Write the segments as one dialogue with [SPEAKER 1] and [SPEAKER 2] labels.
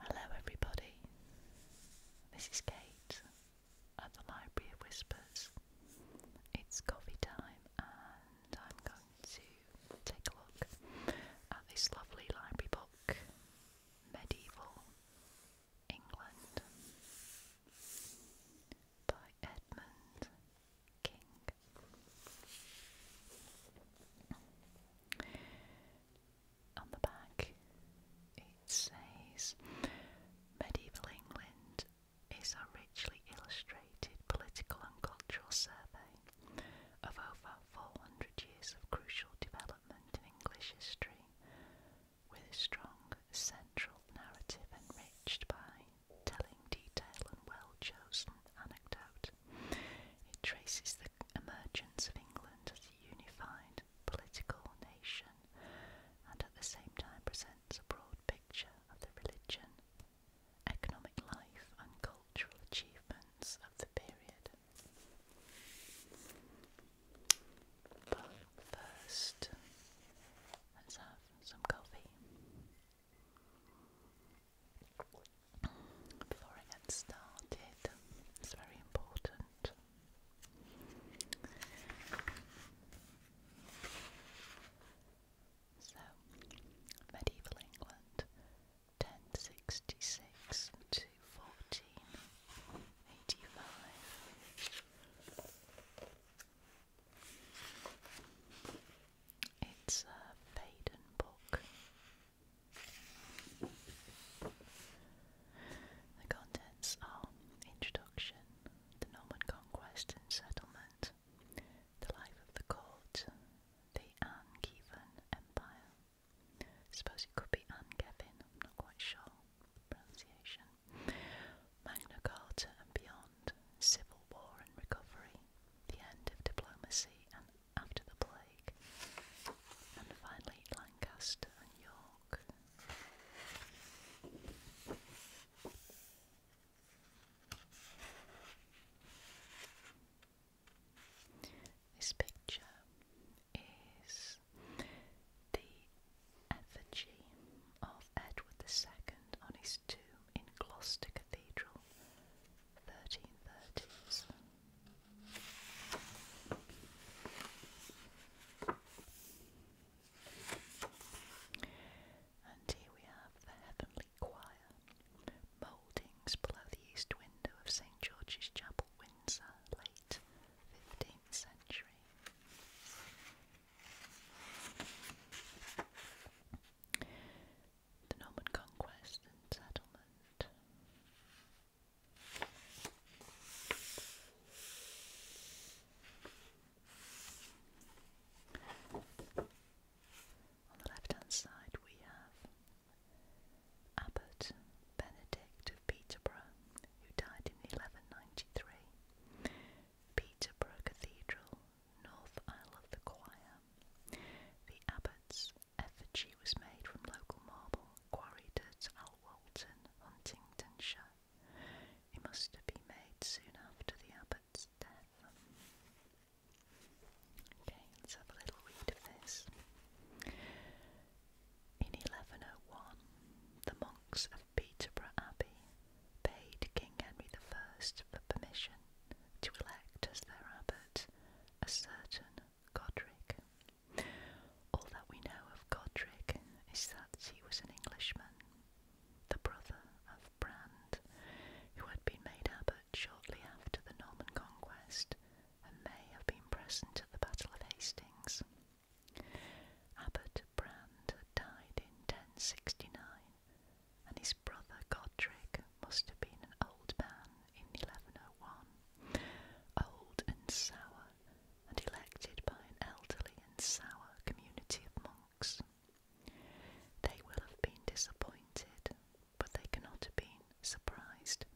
[SPEAKER 1] Hello, everybody. This is Kate at the Library of Whispers. It's coffee time, and I'm going to take a look at this lovely library book, Medieval England, by Edmund King. On the back, it says Medieval England is a richly illustrated political and cultural survey of over 400 years of crucial development in English history, with a strong central narrative enriched by telling detail and well chosen anecdote. It traces the emergence of England as a unified political nation and at the same time presents a broad picture of the religion, economic life, and cultural achievements of the period. But first, let's have some coffee before I get started. It's very important. So, medieval England, 1066 to 1485. It's a Baden book. The contents are Introduction, The Norman Conquest and Settlement, The Life of the Court, The Anne Empire. suppose it could be Anne I'm not quite sure pronunciation. Magna Carta and Beyond, Civil War and Recovery, The End of Diplomacy and after the plague, and finally Lancaster and York. This picture is the effigy of Edward II on his tomb in Gloucester Cathedral, 1330s. And here we have the Heavenly Choir, mouldings below the east window of St George's Chapel, Windsor, late 15th century the Norman conquest and settlement. On the left hand side, we have Abbot Benedict of Peterborough, who died in 1193. Peterborough Cathedral, North Isle of the Choir. The abbots effigy was made from local marble quarried at Alwalton, Huntingdonshire. It must have been made soon after the abbot's death. Okay, let's have a little read of this. In 1101, the monks of Peterborough Abbey paid King Henry I for permission to elect as their abbot a certain Godric. All that we know of Godric is that he was an Englishman, the brother of Brand, who had been made abbot shortly after the Norman conquest and may have been present at the Battle of Hastings. Abbot Brand died in 1069, and his brother Godric must have been an old man in 1101, old and sour, and elected by an elderly and sour community of monks. They will have been disappointed, but they cannot have been surprised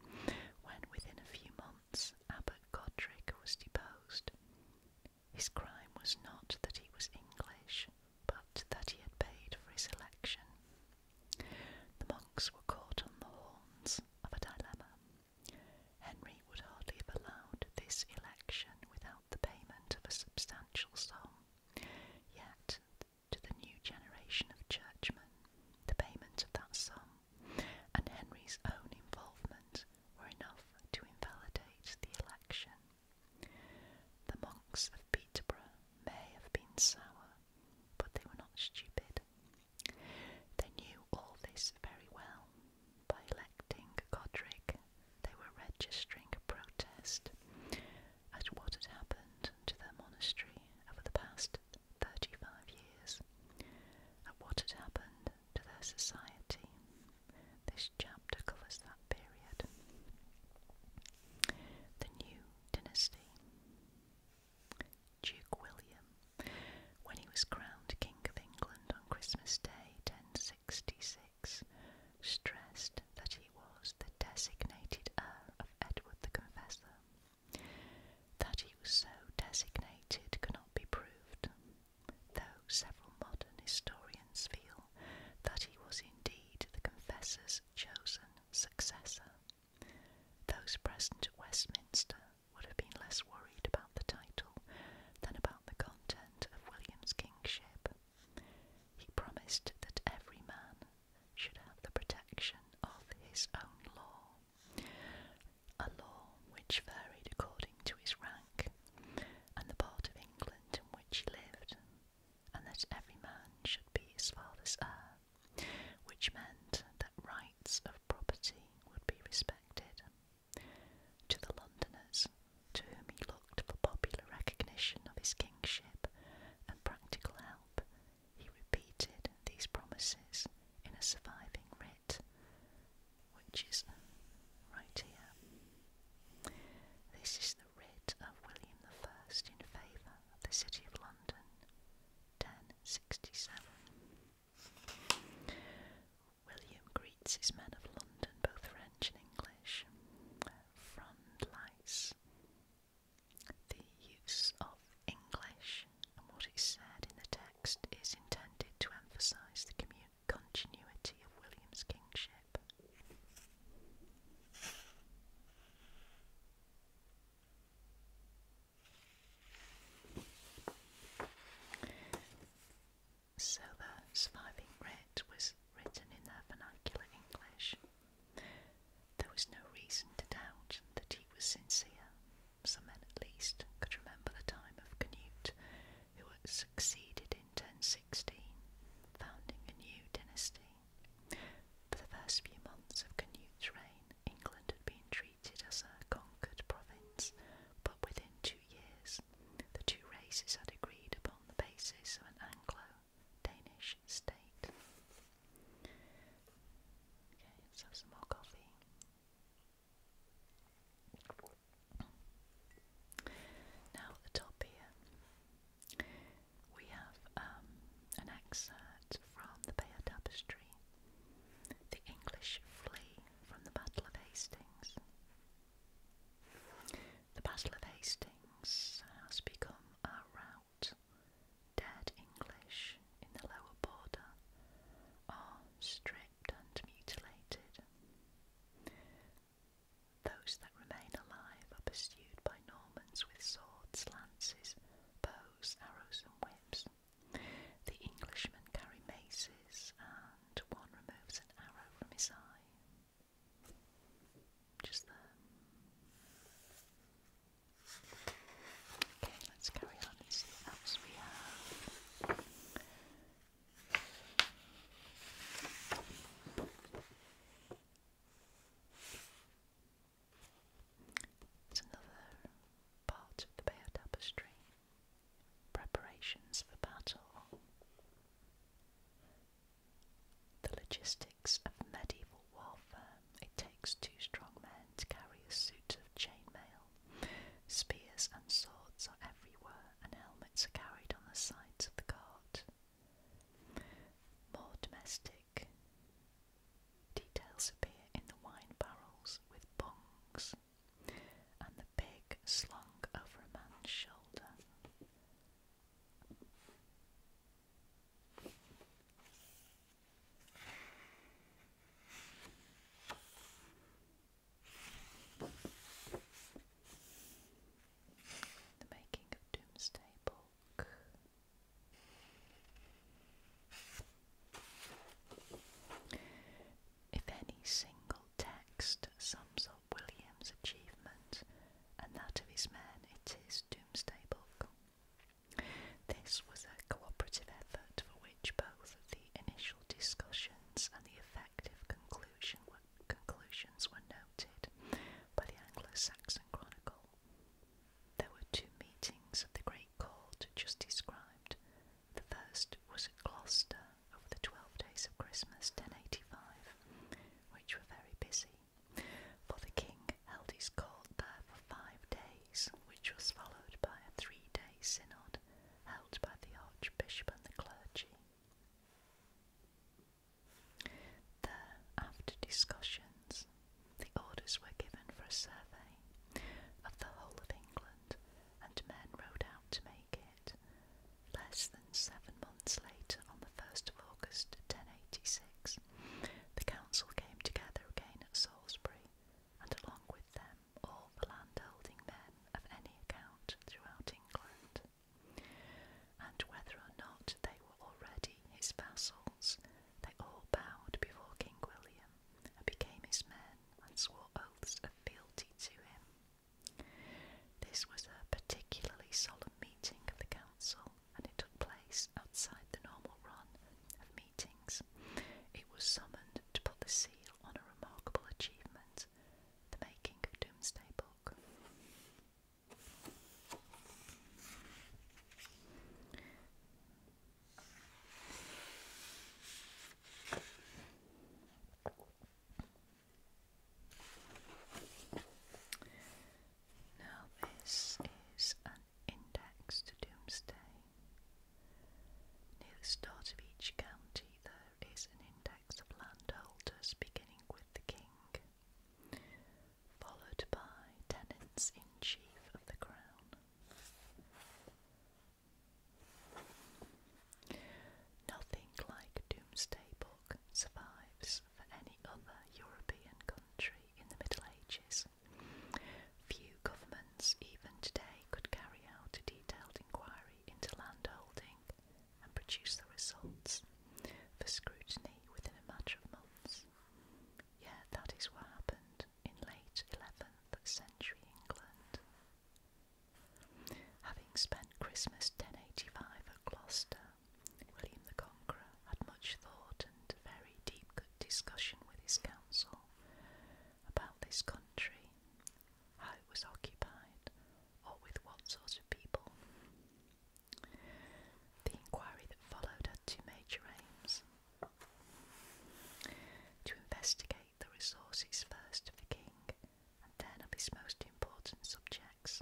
[SPEAKER 1] when within a few months Abbot Godric was deposed. His crime was not that he was English, but that he had paid for his election. The monks were caught on the horns of a dilemma. Henry would hardly have allowed this election without the payment of a substantial sum, yet, to the new generation of churchmen, the payment of that sum and Henry's own involvement were enough to invalidate the election. The monks of Peterborough may have been sour but they were not stupid. They knew all this very well. By electing Godric, they were registering a protest at what had happened to their monastery over the past 35 years, at what had happened to their society. This chapter covers that period. The new dynasty. Duke William, when he was crowned King of England on Christmas Day 1066, stressed that he was the designated heir of Edward the Confessor. That he was so designated cannot be proved, though several modern historians feel that he was indeed the Confessor's chosen successor. Those present at Westminster would have been less worried about the title than about the content of William's kingship. He promised that every man should have the protection of his own law, a law which varied according to his rank and the part of England in which he lived and that every man should be his father's heir, which meant that rights of property would be respected. To the Londoners, to whom he looked for popular recognition of his kingship and practical help, he repeated these promises in a surviving writ, which is right here. This is the writ of William the First in favour of the City of London, 1067. William greets his men of London, both French and English, frondelise the use of English and what is said in the text is intended to emphasise the continuity of William's kingship. So the surviving writ was written in their vernacular English. There was no reason to doubt that he was sincere. Some men at least could remember the time of Canute, who had succeeded in 1016, founding a new dynasty. For the first few months of Canute's reign, England had been treated as a conquered province, but within two years, the two races had agreed upon the basis of an Anglo-Danish state. Okay, let's have some more coffee. Now the top here, we have um, an excerpt from the Bayeux Tapestry The English Flee from the Battle of Hastings. The Battle of Hastings has become a rout. Dead English in the lower border are stripped and mutilated. Those that remain alive are pursued by Normans with swords, lances, bows, arrows, and whips. The Englishmen carry maces, and one removes an arrow from his eye. Just there. Okay, let's carry on and see what else we have. It's another part of the Bayeux Tapestry. Preparations for battle. The logistics of medieval warfare. It takes two strong men to carry a suit of chainmail. Spears and swords are everywhere, and helmets are carried on the sides of the cart. More domestic details appear in the wine barrels with bungs and the pig slung over a man's shoulder. The making of Doomsday Book. If any single text sums up William's achievement and that of his men, it is Doomsday Book. This was a cooperative effort for which both the initial discussions and the effective conclusions were noted by the Anglo Saxon Chronicle there were two meetings of the great court just described. The first was at Gloucester over the twelve days of Christmas, 1085, which were very busy, for the king held his court there for five days, which was followed by a three day synod held by the archbishop and the clergy. There, after discussions, the orders were given for a survey of the whole of England, and men rode out to make it. Less than seven months later, on the 1st of August 1086, the council came together again at Salisbury, and along with them all the landholding men of any account throughout England. And whether or not they were already his vassals, they all bowed before King William and became his men and swore oaths of fealty to him. This was a particularly solemn meeting of the council, and it took place outside the normal run of meetings. It was summoned to put the seal on a remarkable achievement, the making of Doomsday Book. Now, this is an index to Doomsday. Near the start of each county, there is an index of landholders beginning with the king followed by tenants in chief of the crown. Nothing like Doomsday Book survives for any other European country in the Middle Ages. Few governments even today could carry out a detailed inquiry into landholding and produce the results for scrutiny within a matter of months. Yeah, that is what happened in late 11th century England. Having spent Christmas 1085 at Gloucester, William the Conqueror had much thought and very deep discussion with his council about this country, how it was occupied, or with what sort of people. The inquiry that followed had two major aims to investigate the resources first of the king and then of his most important subjects.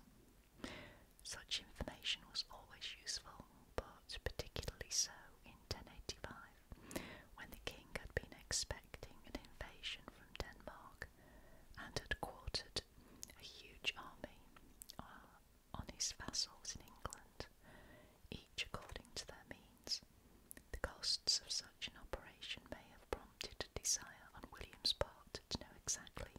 [SPEAKER 1] Such information was always useful, but particularly so in 1085, when the king had been expecting an invasion from Denmark and had quartered a huge army uh, on his vassals in England, each according to their means. The costs of such an operation may have prompted a desire on William's part to know exactly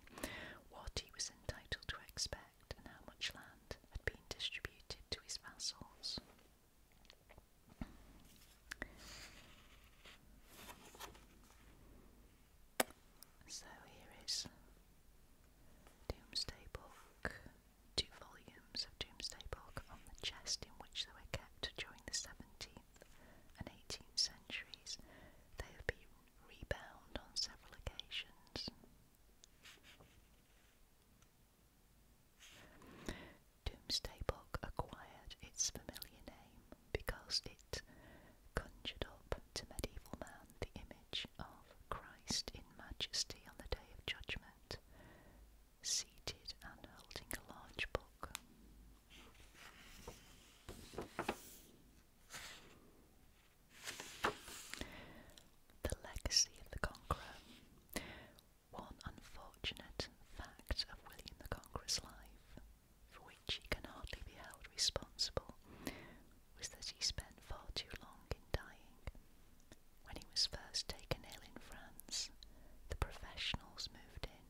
[SPEAKER 1] what he was entitled to expect and how much land had been distributed to his vassals. So here is Doomsday Book. Two volumes of Doomsday Book on the chest in which they were kept during the 17th and 18th centuries. They have been rebound on several occasions. Doomsday Book acquired its familiar name because it conjured up to medieval man the image of Christ in majesty on the day of judgment, seated and holding a large book. The legacy of the Conqueror. One unfortunate fact of William the Conqueror's life, for which he can hardly be held responsible, was that he spent far too long in dying. When he was first taken ill in France, the professionals moved in.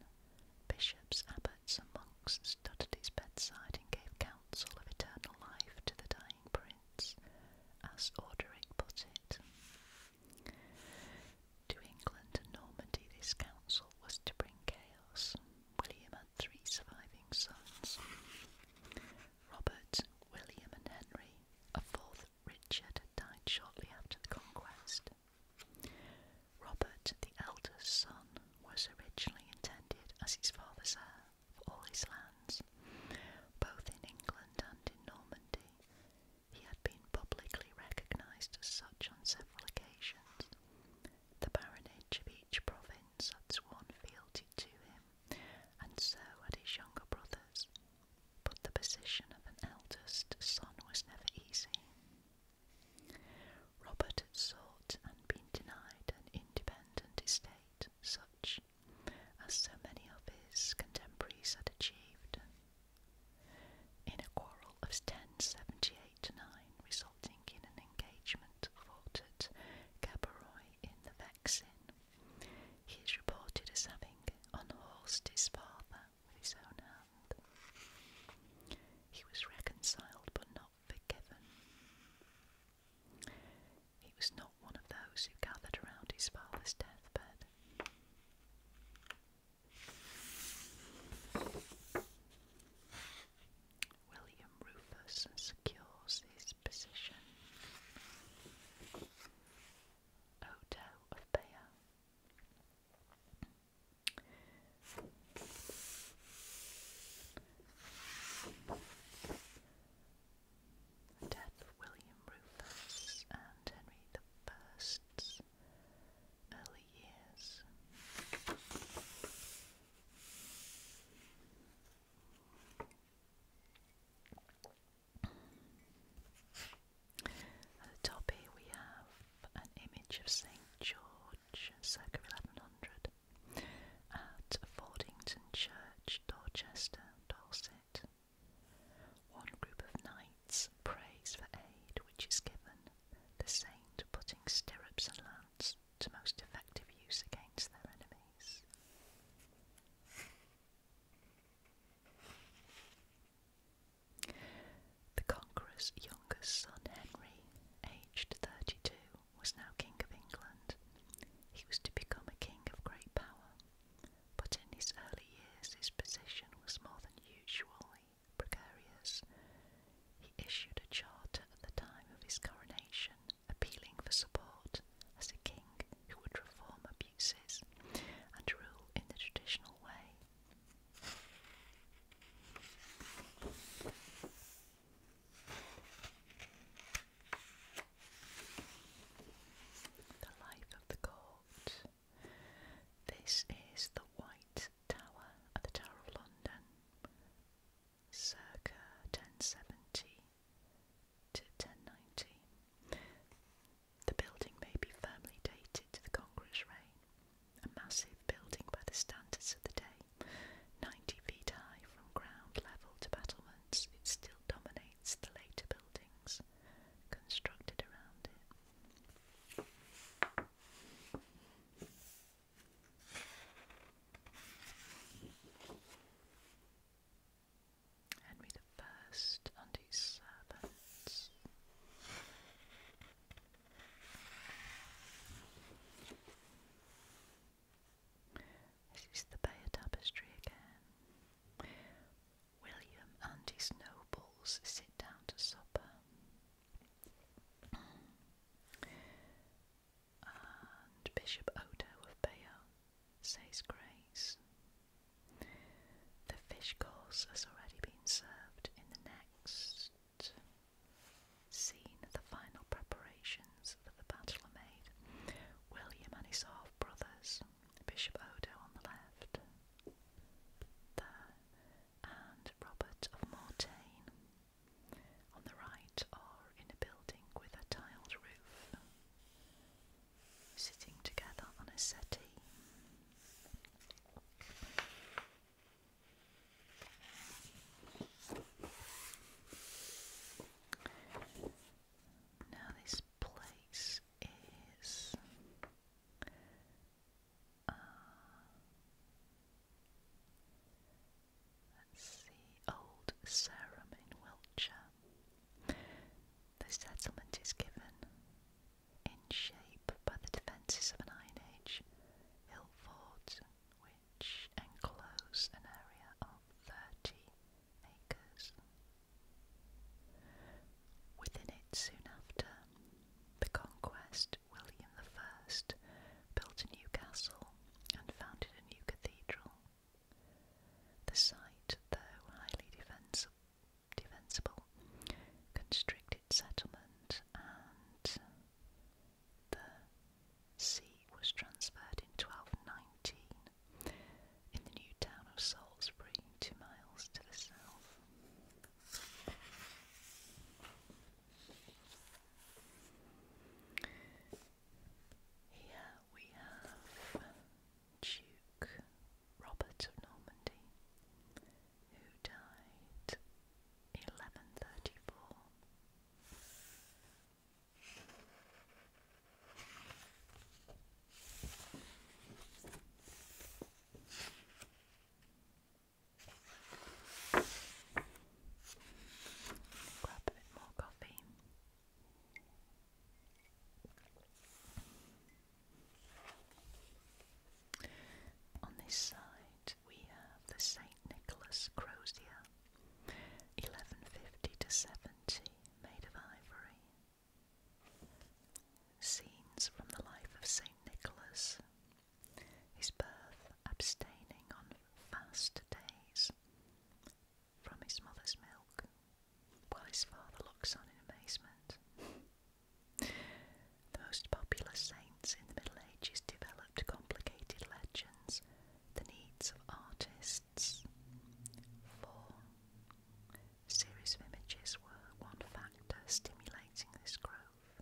[SPEAKER 1] Bishops, abbots, and monks stood at his bedside and gave counsel of eternal life to the dying prince, as Orderic put it. To England and Normandy, this council was to bring chaos. William three surviving sons Robert, William, and Henry. A fourth, Richard, died shortly after the conquest. Robert, the eldest son, was originally intended as his father's heir for all his lands, both in England and in Normandy. He had been publicly recognised as such on several occasions. The baronage of each province friends had sworn fealty to him, and so had his younger brothers. But the position of an eldest son was never easy. Robert had sought and been denied an independent estate, such as so many of his contemporaries had achieved. In a quarrel of 1078 9, resulting an engagement fought at in the Vexin. He is reported as having unhorsed his father with his own hand. He was reconciled but not forgiven. He was not one of those who gathered around his father's deathbed. William Rufus secures his position. Odo of Bayeux. death of William Rufus and Henry the early years. At the top here we have an image of St George circa 1100 at Fordington Church, Dorchester, Dorset. One group of knights prays for aid which is given, the saint putting stirrups and lance to most effective use against their enemies. The conqueror's youngest son, Henry, aged 32, was now King of England. He was to become a king of great power, but in his early years his position was more than usually precarious. He issued a charter at the time of his coronation appealing for support as a king who would reform abuses and rule in the traditional way. The life of the court. This is the White Tower at the Tower of London circa 1070 to 1090. The building may be firmly dated to the Congress reign, a massive building by the standards of the day, 90 feet high from ground level to battlements, it still dominates the later buildings constructed around it. Henry the First and his servants. This is the Bayer Tapestry again. William and his nobles sit down to supper and Bishop Odo of Bayeux says grace. The fish course has already been served in the next scene. The final preparations for the battle are made. William and his half brothers, Bishop Odo on the left, there, and Robert of Mortain on the right are in a building with a tiled roof, sitting together on a settee. Now, this place is. Uh, Let's Old Sarum Wiltshire. The settlement is given in shape by the defences of an Iron Age hill fort, which enclose an area of 30 acres. Within it, soon after the conquest, William I built a new castle and founded a new cathedral. The site, though highly defensible, constricted settlement and the see was transferred in 1219 in the new town of Salisbury, two miles to the south. Here we have Duke Robert of Normandy, who died eleven thirty four. Grab a bit more coffee. On this side, we have the St. Nicholas Crozier, 1150 to 70, made of ivory. Scenes from the life of St. Nicholas, his birth, abstaining on fast days, from his mother's milk, while his father looks on in amazement. the most popular saints in the Middle Ages developed complicated legends, the needs of artists. Four series of images were one factor stimulating this growth.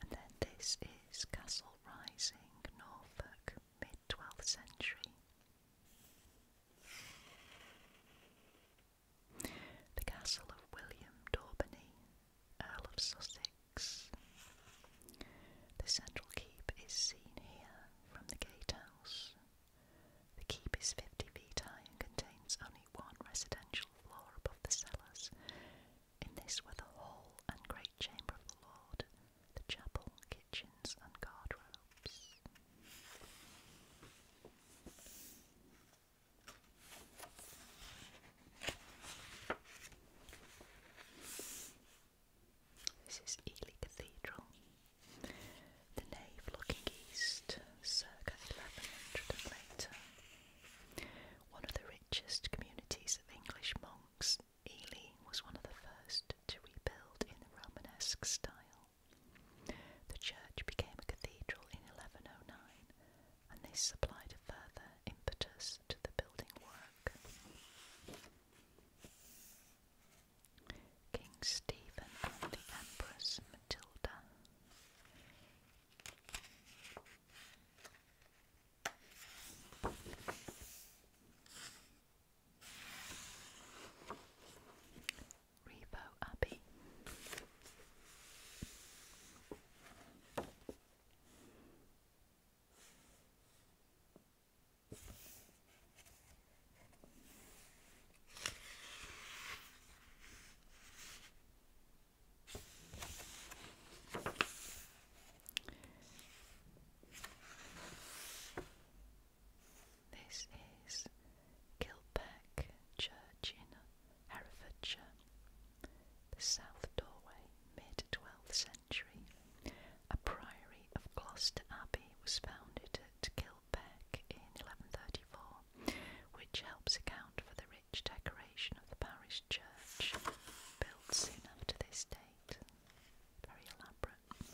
[SPEAKER 1] And then this is Castle Rising, Norfolk, mid 12th century. The castle of William Daubeny, Earl of Sussex. The central keep is seen here from the gatehouse. The keep is 50 feet high and contains only one residential floor above the cellars in this were the hall and great chamber of the Lord, the chapel, kitchens, and guardrobes. This is Ely Cathedral. The nave looking east, circa 1100 and later. One of the just communities of English monks, Ely was one of the first to rebuild in the Romanesque style. The church became a cathedral in 1109, and this supplied a further impetus to the building work. King Stephen and the Empress Matilda. Revo Abbey. This is Kilpeck Church in Herefordshire, the south doorway, mid 12th century. A priory of Gloucester Abbey was founded at Kilpeck in 1134, which helps account for the rich decoration of the parish church, built soon after this date. Very elaborate.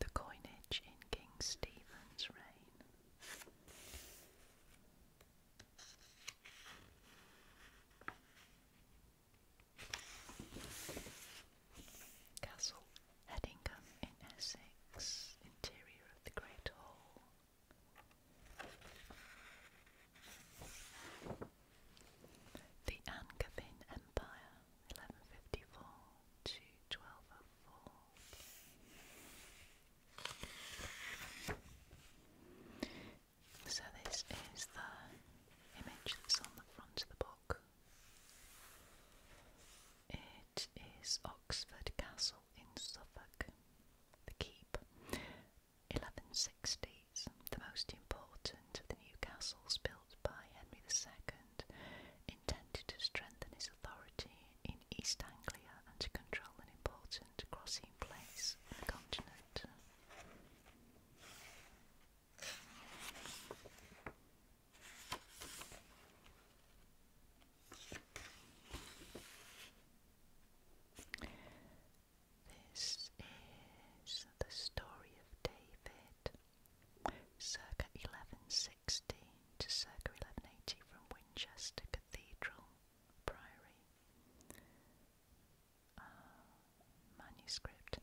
[SPEAKER 1] The coinage in King Stephen's reign. Castle Headingham in Essex, interior of the Great Hall. The Angevin Empire, 1154 to 1204. So, this is the image that's on the front of the book it is Oxford Castle in Suffolk. The keep, 1160s, the most important of the new castles built by Henry II, intended to strengthen his authority in East Anglia and to control an important crossing place on the continent. This is the story of David, circa 1160 to circa 1180 from Winchester Cathedral, Priory. manuscript.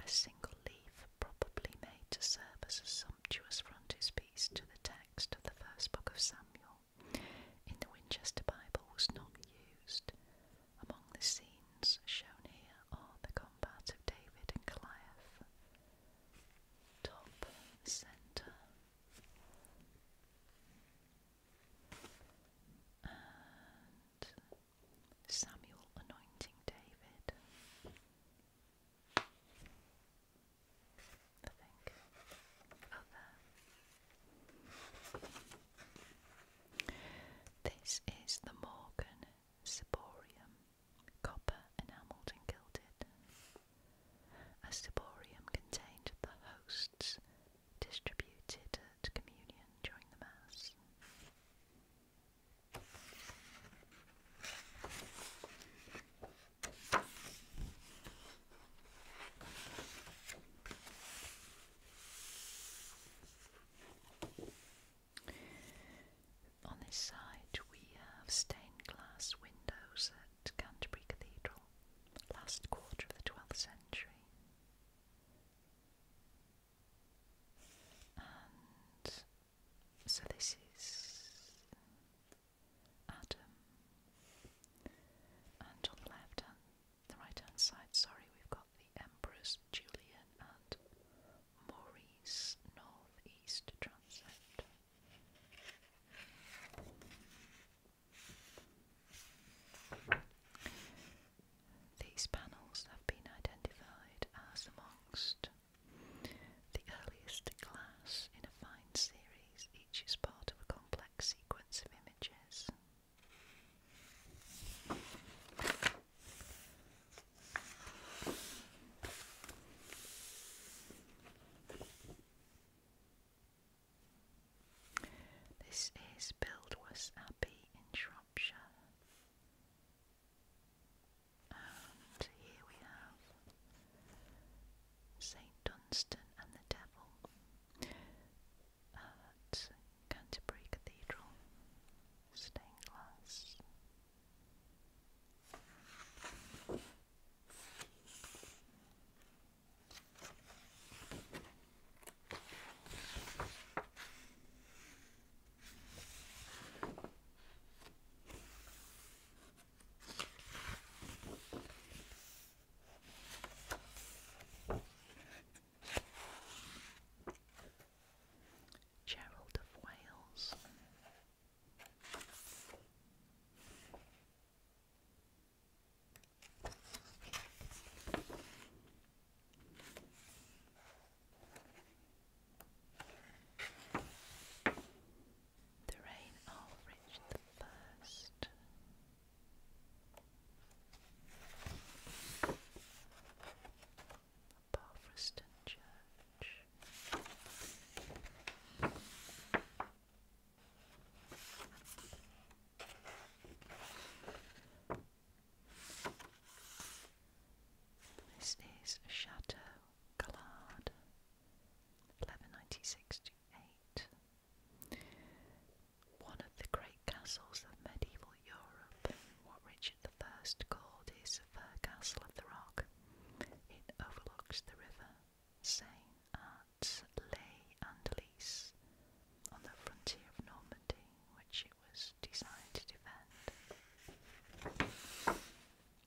[SPEAKER 1] A single leaf, probably made to serve as a sumptuous frontispiece to the text of the first book of Samuel in the Winchester Bible was not used. Among the scenes shown here are the combat of David and Goliath. Top centre. And Samuel anointing David. I This is the Morgan ciborium, copper enameled and gilded. A ciborium contained the hosts distributed at communion during the Mass. On this side, we have stained glass windows at Canterbury Cathedral, last quarter of the 12th century. So this is Adam, and on the left hand, the right hand side, sorry, we've got the Empress Julian and Maurice Northeast Transept. These panels have been identified as amongst the earliest class in a fine series, each is part of a complex sequence of images. This is Buildwas Abbey in Shropshire. And here we have St. Dunstan and the Devil at Canterbury Cathedral, stained glass. Gerald of Wales the reign of Richard the First. Barfreston Church. This is a chateau Gallard, 1196-8. One of the great castles of medieval Europe, what Richard I called his Castle of the Rock. It overlooks the river Seine at Les Andelys on the frontier of Normandy, which it was designed to defend.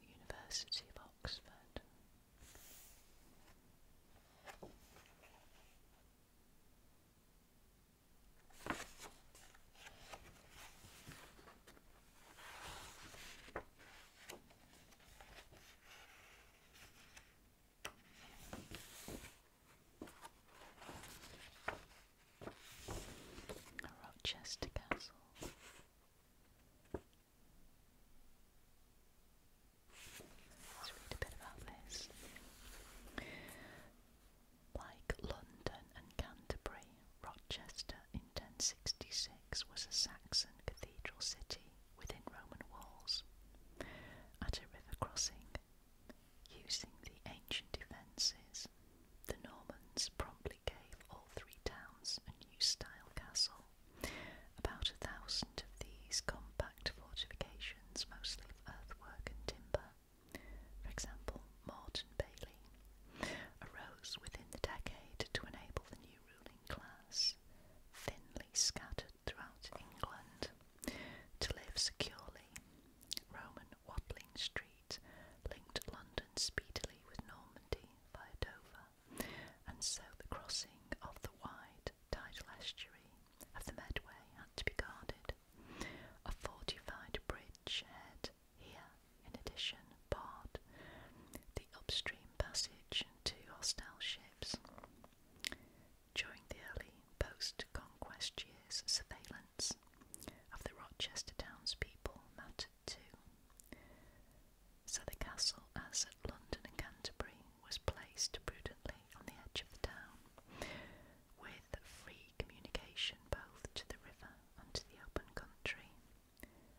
[SPEAKER 1] University of Oxford. Rochester Castle. Like London and Canterbury, Rochester in 1066 was a Saxon cathedral city within Roman walls. At a river crossing, using the ancient defences, the Normans promptly gave all three towns a new style castle. About a thousand of these compact fortifications, mostly of earthwork and timber, for example, Morton Bailey, arose within the decade to enable the new ruling class, thinly scattered throughout England, to live securely. Roman Watling Street linked London speedily with Normandy via Dover and so the crossing of the wide tidal estuary of the Medway had to be guarded. A fortified bridge head here, in addition, barred the upstream passage to hostile ships. During the early post-conquest years, surveillance of the Rochester townspeople mattered too so the castle, as at London and Canterbury, was placed prudently on the edge of the town, with free communication both to the river and to the open country.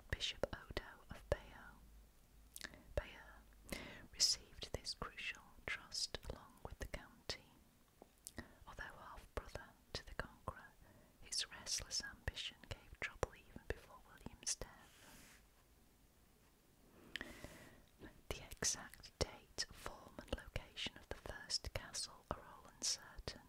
[SPEAKER 1] Bishop Odo of Bayeux, received this crucial trust along with the county. Although half-brother to the Conqueror, his restless ambition gave trouble even before William's death. The exact date, form, and location of the first castle are all uncertain.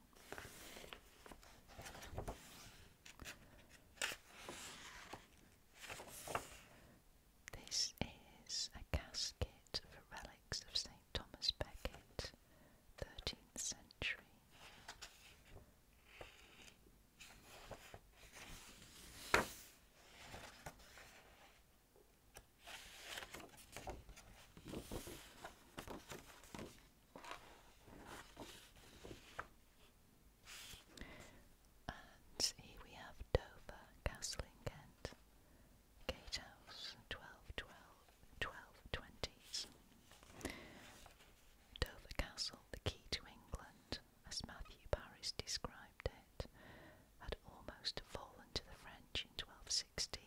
[SPEAKER 1] This is a casket for relics of St. Thomas Becket, 13th century. And here we have Dover Castle in Kent, Gatehouse, 1212, Dover Castle, the key to England as Matthew Paris described it, had almost fallen to the French in 1216.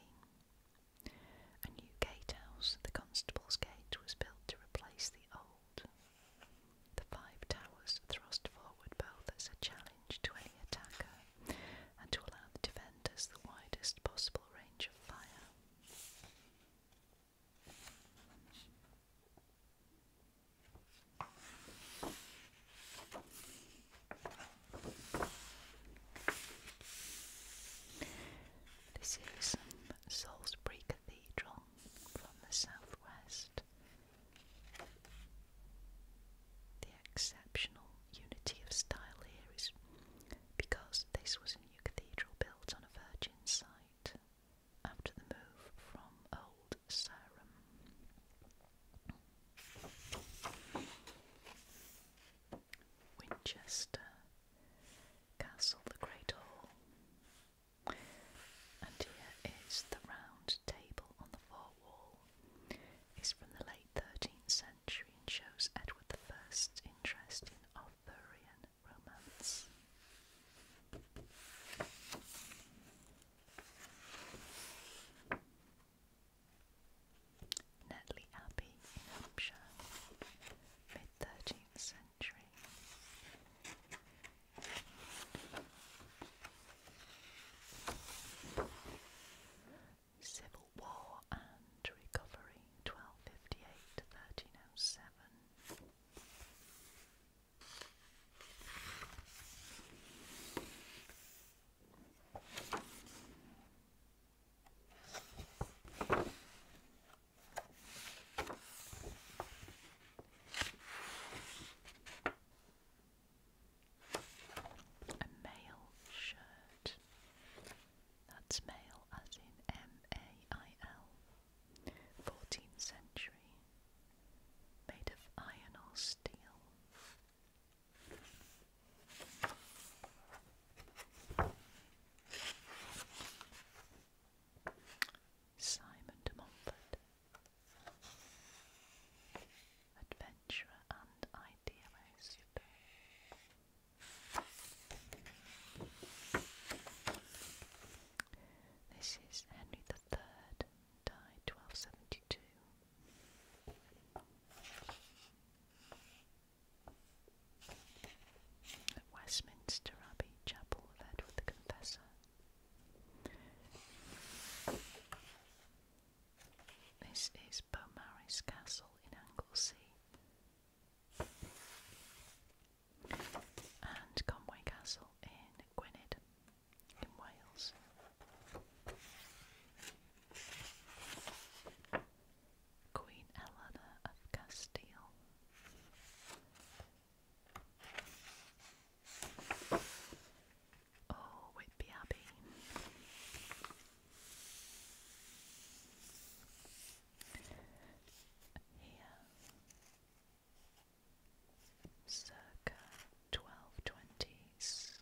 [SPEAKER 1] A new gatehouse, the Constable's Gate, was built to replace the old. The five towers thrust forward both as a challenge to any attacker and to allow the defenders the widest possible range of fire. This is Salisbury Cathedral from the southwest. The exceptional unity of style here is because this was a new cathedral built on a virgin site after the move from Old Sarum. Winchester Castle, the Great Hall. And here is the round table on the far wall. is from the late 13th century and shows Edward I's interest in Arthurian romance. Netley Abbey Hampshire, mid 13th century. Civil War and Recovery, 1258 to 1307. A male shirt. That's male as in M A I L. 14th century, made of iron or steel. Simon de Montfort, adventurer and idealist. This is Henry III, died 1272. Westminster Abbey Chapel of Edward the Confessor. This is Beaumaris Castle in Anglesey and Conway Castle in Gwynedd, in Wales. Queen Eleanor of Castile. Oh, Whitby Abbey. Here circa twelve twenties.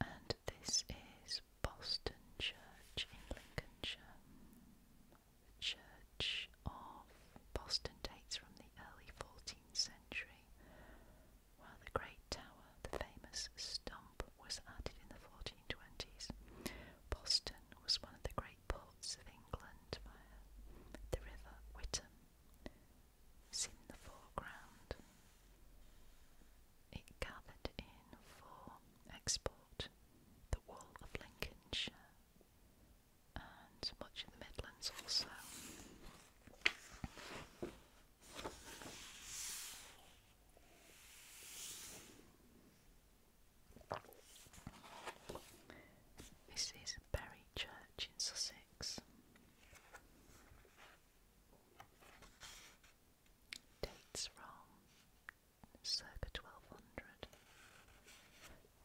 [SPEAKER 1] And this is Boston Church in Lincolnshire. Church of Boston dates from the early 14th century, while the Great Tower, the famous stump, was added in the 1420s. Boston was one of the great ports of England via the River Witham. It's in the foreground. It gathered in for export the wool of Lincolnshire, and much of the Midlands also. This is Bury Church in Sussex. Dates from circa 1200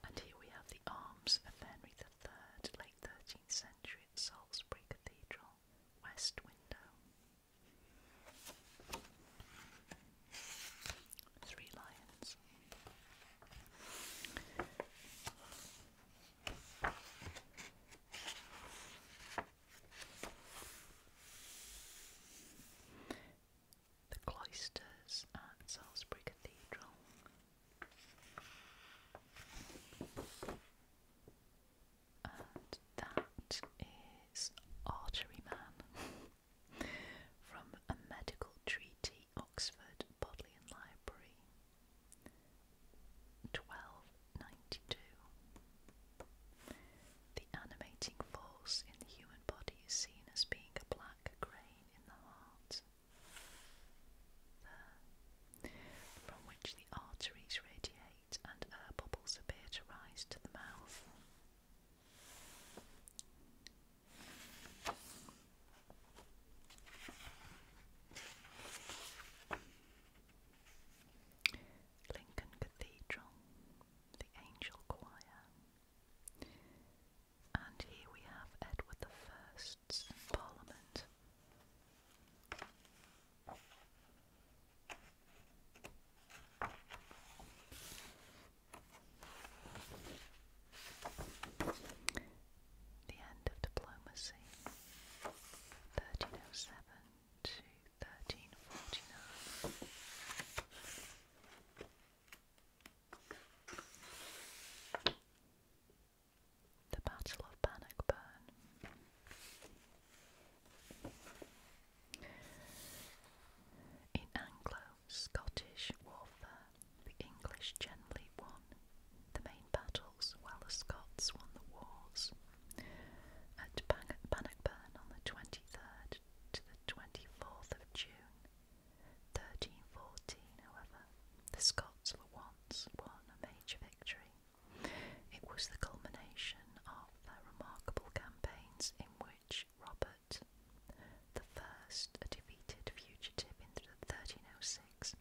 [SPEAKER 1] and here we have the arms of Henry III, late 13th century at Salisbury Cathedral, west window. Three lions the cloisters at Salisbury Cathedral. And that is Archery Man from a medical treaty, Oxford Bodleian Library, 1292. The animating force in the human body is seen as being a black grain in the heart from which the arteries radiate and air bubbles appear to rise to the mouth. Lincoln Cathedral, the Angel Choir. And here we have Edward I's Parliament. The end of diplomacy, 1307 to 1349. The Battle of Burn. In Anglo-Scottish warfare, the English generally won the main battles while the Scots won the wars. At Burn, on the 23rd to the 24th of June, 1314, however, the Scots for once won a major victory. It was the culmination of their remarkable campaigns in which Robert the first defeated fugitive in 1306,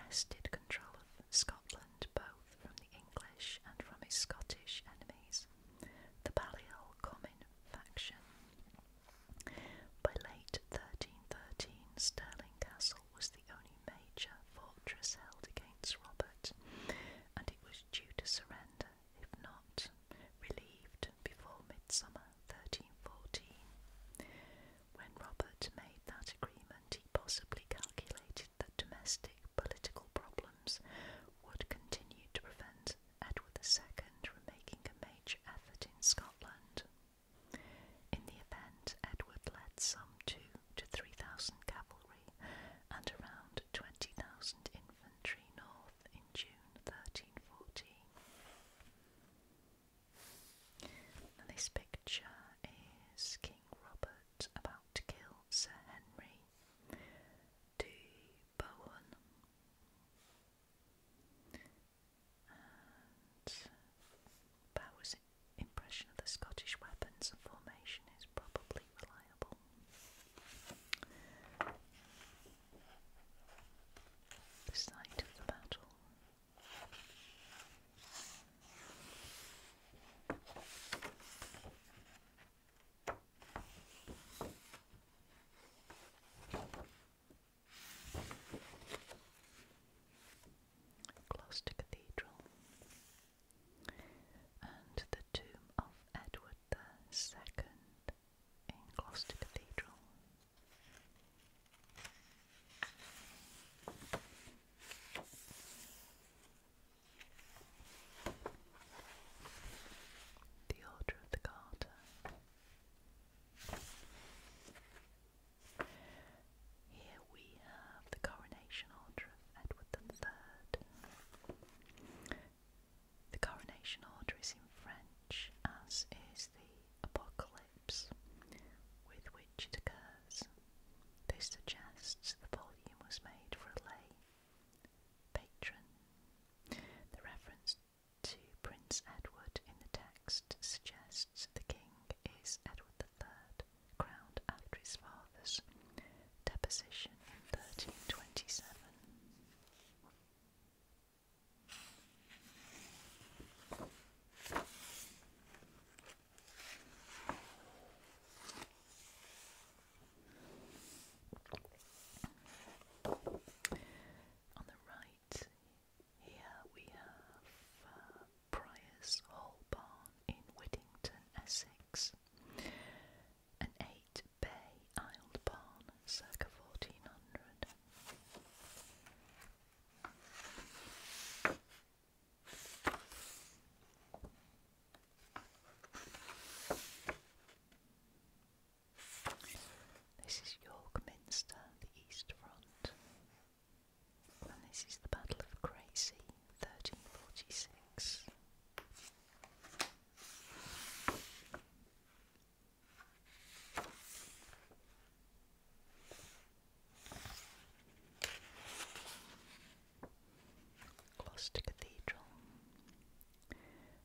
[SPEAKER 1] wrested control of Scotland both from the English and from his Scottish enemies, the Balliol Common faction. By late 1313, Stirling Castle was the only major fortress held against Robert, and it was due to surrender, if not relieved, before midsummer 1314. When Robert made that agreement, he possibly calculated that domestic political problems would continue to prevent Edward II were making a major effort in Scotland. In the event, Edward led some two to three thousand cavalry and around twenty thousand infantry north in June 1314. this picture is King Robert about to kill Sir Henry de Bohun. And Bowers' impression of the Scottish weapons and formation is probably reliable. The site of the battle. Gloucester Cathedral, and the tomb of Edward the Second in Gloucester Cathedral. The Order of the Garter. Here we have the coronation order of Edward III. The coronation order is in French, as is the apocalypse with which it occurs. This suggests the volume was made for a lay patron. The reference to Prince Edward in the text suggests the king is Edward III, crowned after his father's deposition in 1327. On the right, right here we have uh, Hall Barn in Whittington, Essex, an eight bay aisled barn circa 1400. This is York Minster, the East Front. And this is the Battle of Crecy, 1346. Gloucester Cathedral.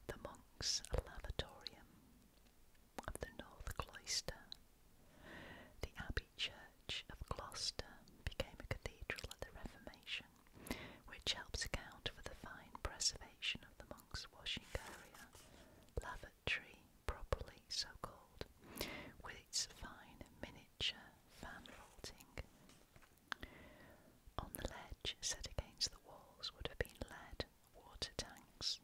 [SPEAKER 1] The monks' lavatorium of the North Cloister. The Abbey Church of Gloucester became a cathedral at the Reformation, which helps account for the fine preservation of the monks' washing area, lavatory, properly so called, with its fine miniature fan vaulting. On the ledge set against the walls would have been lead water tanks,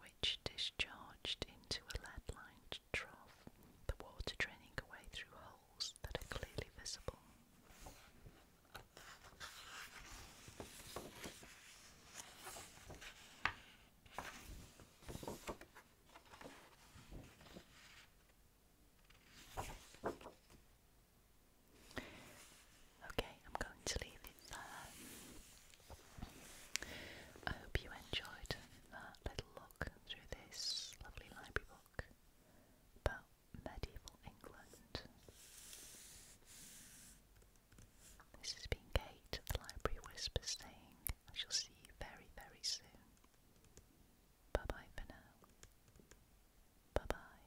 [SPEAKER 1] which discharged into a lead lined trough, the water draining away through holes that are clearly visible. Okay, I'm going to leave it there. I hope you enjoyed that little look through this lovely library book about medieval England. This has been Kate the Library Whispers saying I shall see you very, very soon. Bye bye for now. Bye bye.